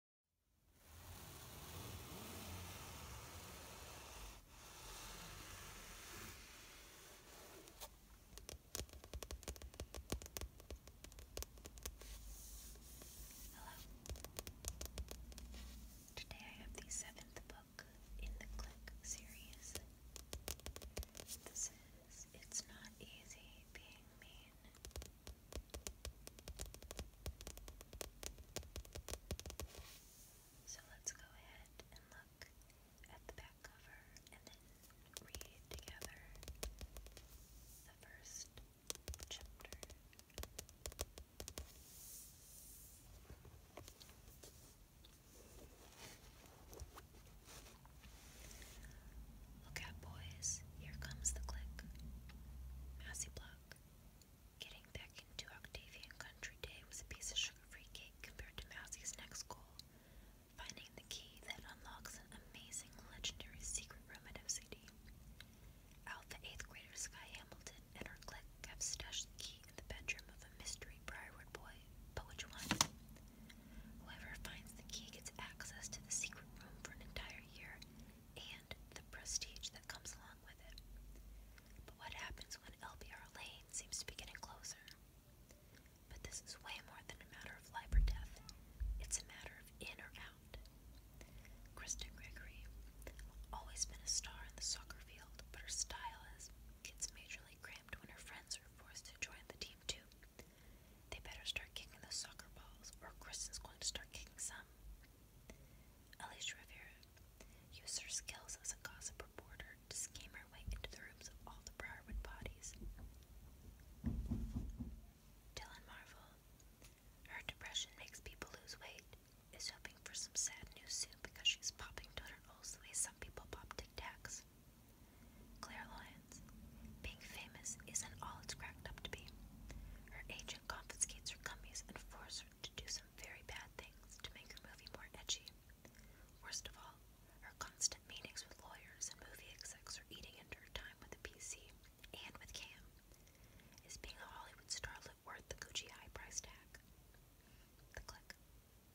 Hello. Today I have the seventh book in the Click series. This is It's Not Easy Being Mean so let's go ahead and look at the back cover and then read together the first chapter. Look out, boys, here comes the click. Massey Block. Getting back into Octavian Country Day was a piece of sugar free cake compared to Massey's next goal finding the key that unlocks an amazing, legendary secret room at FCD. Alpha 8th grader Sky Hamilton and her clique have stashed the key in the bedroom of a mystery Briarwood boy, but which one? Whoever finds the key gets access to the secret room for an entire year and the prestige that comes along with it. But what happens when LBR Lane seems to be getting closer? But this is way more than a matter of life or death. It's a matter of in or out. Kristen Gregory, always been a star in the soccer field, but her style is gets majorly cramped when her friends are forced to join the team too. They better start kicking those soccer balls, or Kristen's going to start kicking some. Alicia Rivera used her skills as a gossip reporter to scheme her way into the rooms of all the Briarwood bodies. Dylan Marvel, her depression makes people lose weight, is hoping for some sad news soon because she's popping donuts the way some people pop Tic Tacs. Claire Lyons. Being famous isn't all it's cracked up to be. Her agent confiscates her gummies and forces her to do some very bad things to make her movie more edgy. Worst of all, her constant meetings with lawyers and movie execs are eating into her time with the PC and with Cam. Is being a Hollywood starlet worth the Gucci high price tag? The click.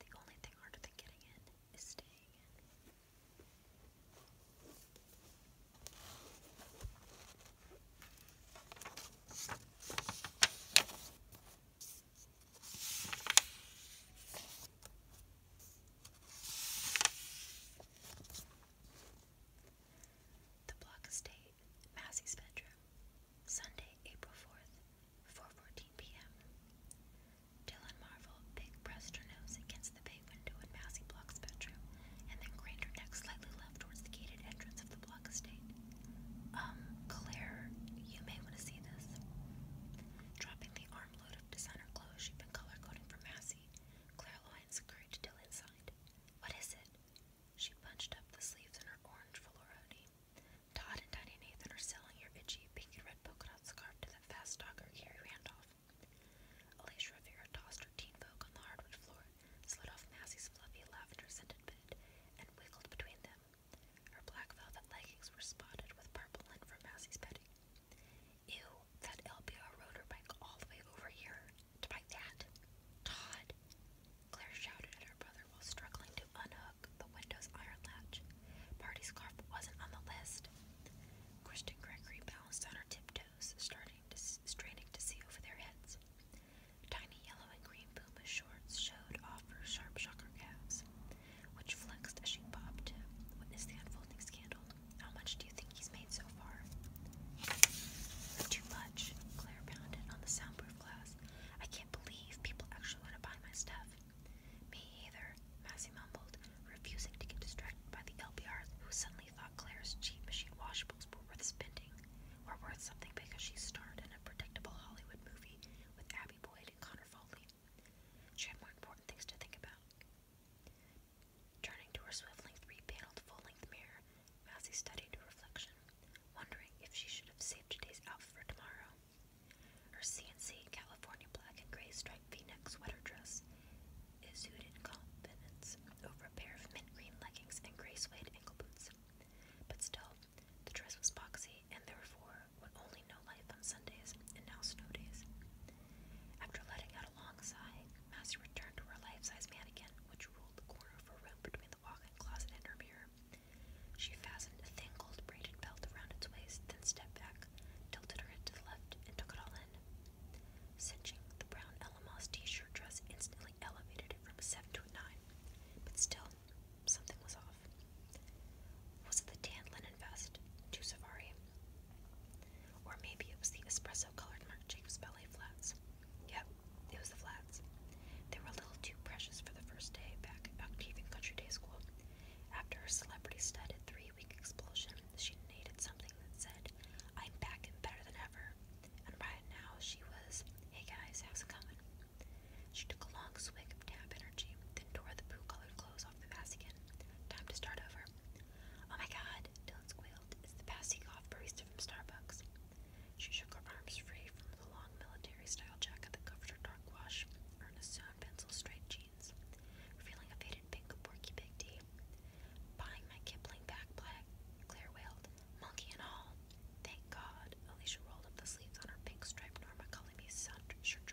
The only thing harder than getting in is staying in. The Block Estate, Massey's Bedroom, Sunday, April 4th, 4.14 p.m. Dylan Marvel pressed her nose against the bay window in Massey Block's bedroom and then craned her neck slightly left towards the gated entrance of the block estate. Um, Claire, you may want to see this. Dropping the armload of designer clothes she'd been color coding for Massey, Claire Lyons scurried Dylan's side. What is it? She punched up the sleeves in her orange velour hoodie. Todd and Tiny Nathan are selling your itchy pink and red polka dot scarf to that fast stalker, Carrie Randolph. Alicia Rivera tossed her teen folk on hardwood floor, slid off Massey's fluffy lavender scented bed, and wiggled between them. Her black velvet leggings were spotted with purple lint from Massey's bedding. Ew, that LBR rode her bike all the way over here to buy that. Todd, Claire shouted at her brother while struggling to unhook the window's iron latch. Party scarf wasn't on the list. Kristen Gregory balanced on her tiptoes, starting to, straining to see over their heads. Tiny yellow and green Puma shorts showed off her sharp shocker calves, which flexed as she popped. to witness the unfolding scandal. How much do you think he's made so far? Too much, Claire pounded on the soundproof glass. I can't believe people actually want to buy my stuff. Me either, Massey mumbled, refusing to get distracted by the LPR, who suddenly thought Claire's cheap machine washables were worth spending, Were worth something because she starred in a predictable Hollywood movie with Abby Boyd and Connor Foley. She had more important things to think about. Turning to her swiveling three paneled full length mirror, Mousie studied her reflection, wondering if she should have saved today's outfit for tomorrow. Her CNC California black and gray striped v-neck sweater dress issued in confidence over a pair of mint green leggings and gray suede ankle boots. But still, the dress was boxy and therefore would only know life on Sundays and now snow days. After letting out a long sigh, Mousie returned to her life-size mannequin, which ruled the corner of her room between the walk closet and her mirror. She fastened a thin gold braided belt around its waist, then stepped back, tilted her head to the left, and took it all in. Cinching, the brown Elamos t shirt dress instantly elevated it from a 7 to a 9, but still, something was off. Was it the tan linen vest? Too safari? Or maybe it was the espresso colored Marc Jacobs ballet flats. Yep, it was the flats. They were a little too precious for the first day back at Octavian Country Day School. After her celebrity-studded three-week explosion, she needed something that said, I'm back and better than ever. And right now she was, hey guys, how's it coming? She took a long swig of tap energy, then tore the poo-colored clothes off the again. Time to start over. Oh my god, Dad, squealed, is the passy golf from Starbucks. She shook her arms free from the long military style jacket that covered her dark wash, her Nassoon pencil straight jeans, revealing a faded pink porky pig tee. Buying my Kipling back Claire wailed, monkey and all. Thank God. Alicia rolled up the sleeves on her pink striped Norma Cullamy shirt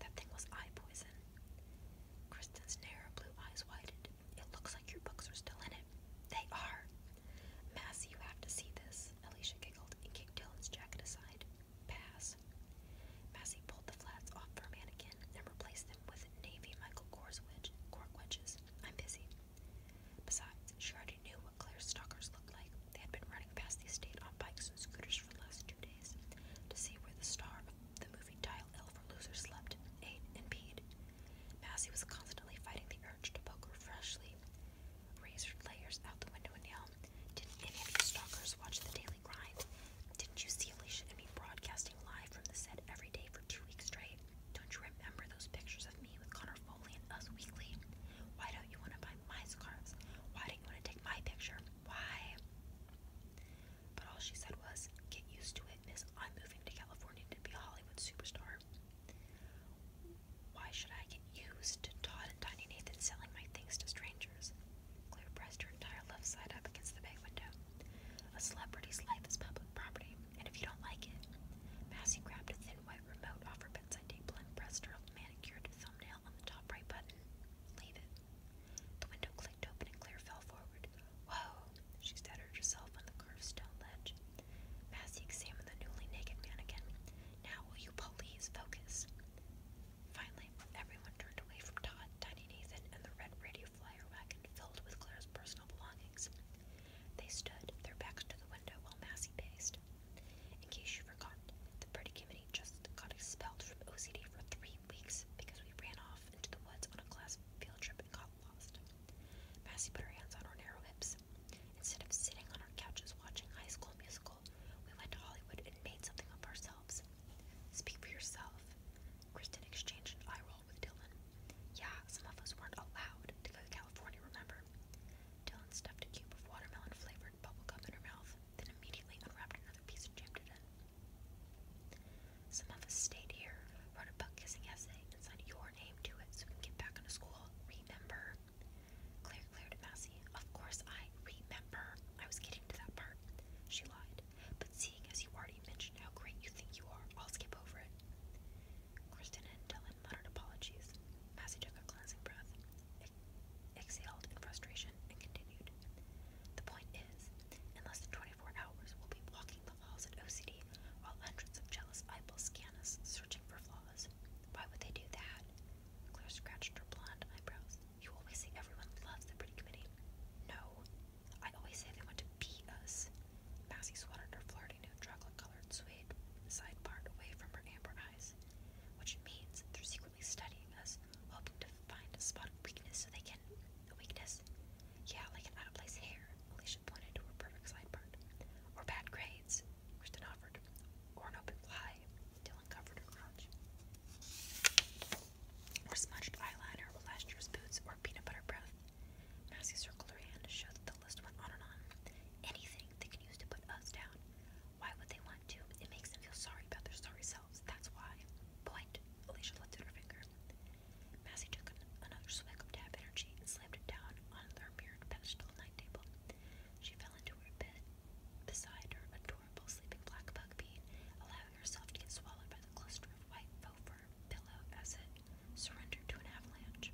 That thing was eye poison. Kristen's narrow blue eyes widened. It looks your books are still in it. They are. Massey, you have to see this. Alicia giggled and kicked Dylan's jacket aside. Pass. Massey pulled the flats off her mannequin and replaced them with navy Michael Kors wedge, cork wedges. I'm busy. Besides, she already knew what Claire's stalkers looked like. They had been running past the estate on bikes and scooters for the last two days to see where the star of the movie Galaxy dial L loser slept, ate, and peed. Massey was constantly fighting the urge to poke her freshly razored layers out the window and yell. Didn't any of you stalkers watch the Daily Grind? Didn't you see Alicia and me broadcasting live from the set every day for two weeks straight? Don't you remember those pictures of me with Connor Foley and Us Weekly? Why don't you want to buy my scarves? Why don't you want to take my picture? Why? But all she said was, Get used to it, miss. I'm moving to California to be a Hollywood superstar. Why should I get used to Todd and Tiny Nathan selling my things to strangers? Claire pressed her entire left side up against the bay window. A celebrity's life is public property, and if you don't like it, Massey grabbed a thin white remote off her bedside table and pressed her manicured thumbnail on the top right button. Leave it. The window clicked open and Claire fell forward. Whoa! She stuttered herself on the curved stone ledge. Massey examined the newly naked man again. Now will you please focus? Finally, everyone turned away from Todd, Tiny Nathan, and the red radio flyer wagon filled with Claire's personal belongings. They stood, their backs to the window, while Massey paced. In case you forgot, the pretty committee just got expelled from OCD for three weeks because we ran off into the woods on a class field trip and got lost. Massey put her hands on our narrow hips. Instead of sitting on our couches watching High School Musical, we went to Hollywood and made something of ourselves. Speak for yourself. Kristen exchanged an eye roll with Dylan. Yeah, some of us weren't allowed to go to California, remember? Dylan stuffed a cube of watermelon flavored turned bubblegum in her mouth, then immediately unwrapped another piece and jammed it Some of us stayed here, wrote a butt kissing essay, and signed your name to it so we can get back into school. Remember? Claire, Claire DeMassey. Of course I remember. I was getting to that part. She lied. But seeing as you already mentioned how great you think you are, I'll skip over it. Kristen and Dylan muttered apologies. Massey took a cleansing breath exhaled in frustration and continued. The point is, in less than 24 hours, we'll be walking the halls at OCD while hundreds of jealous eyeballs scan us, searching for flaws. Why would they do that? Claire scratched her blonde eyebrows. You always say everyone loves the pretty committee. No, I always say they want to beat us. Massey swatted her flirty new chocolate colored suede side part away from her amber eyes which means they're secretly studying us, hoping to find a spot of weakness so they can. A weakness? Yeah, like an out of place hair, Alicia pointed to her perfect side part. Or bad grades, Kristen offered. Or an open fly, Dylan covered her crotch. Or smudged eyeliner, or last year's boots, or peanut butter breath. Massey circled her hand to show that the list went on and on. Anything they could use to put us down. Why would they want to? It makes them feel sorry about their sorry selves. That's why. Point. Alicia lifted her finger. Massey took another swig of tap energy and slammed it down on their mirrored pedestal night table. She fell into her bed beside her adorable sleeping black bugbeed, allowing herself to get swallowed by the cluster of white faux fur pillow as it surrendered to an avalanche.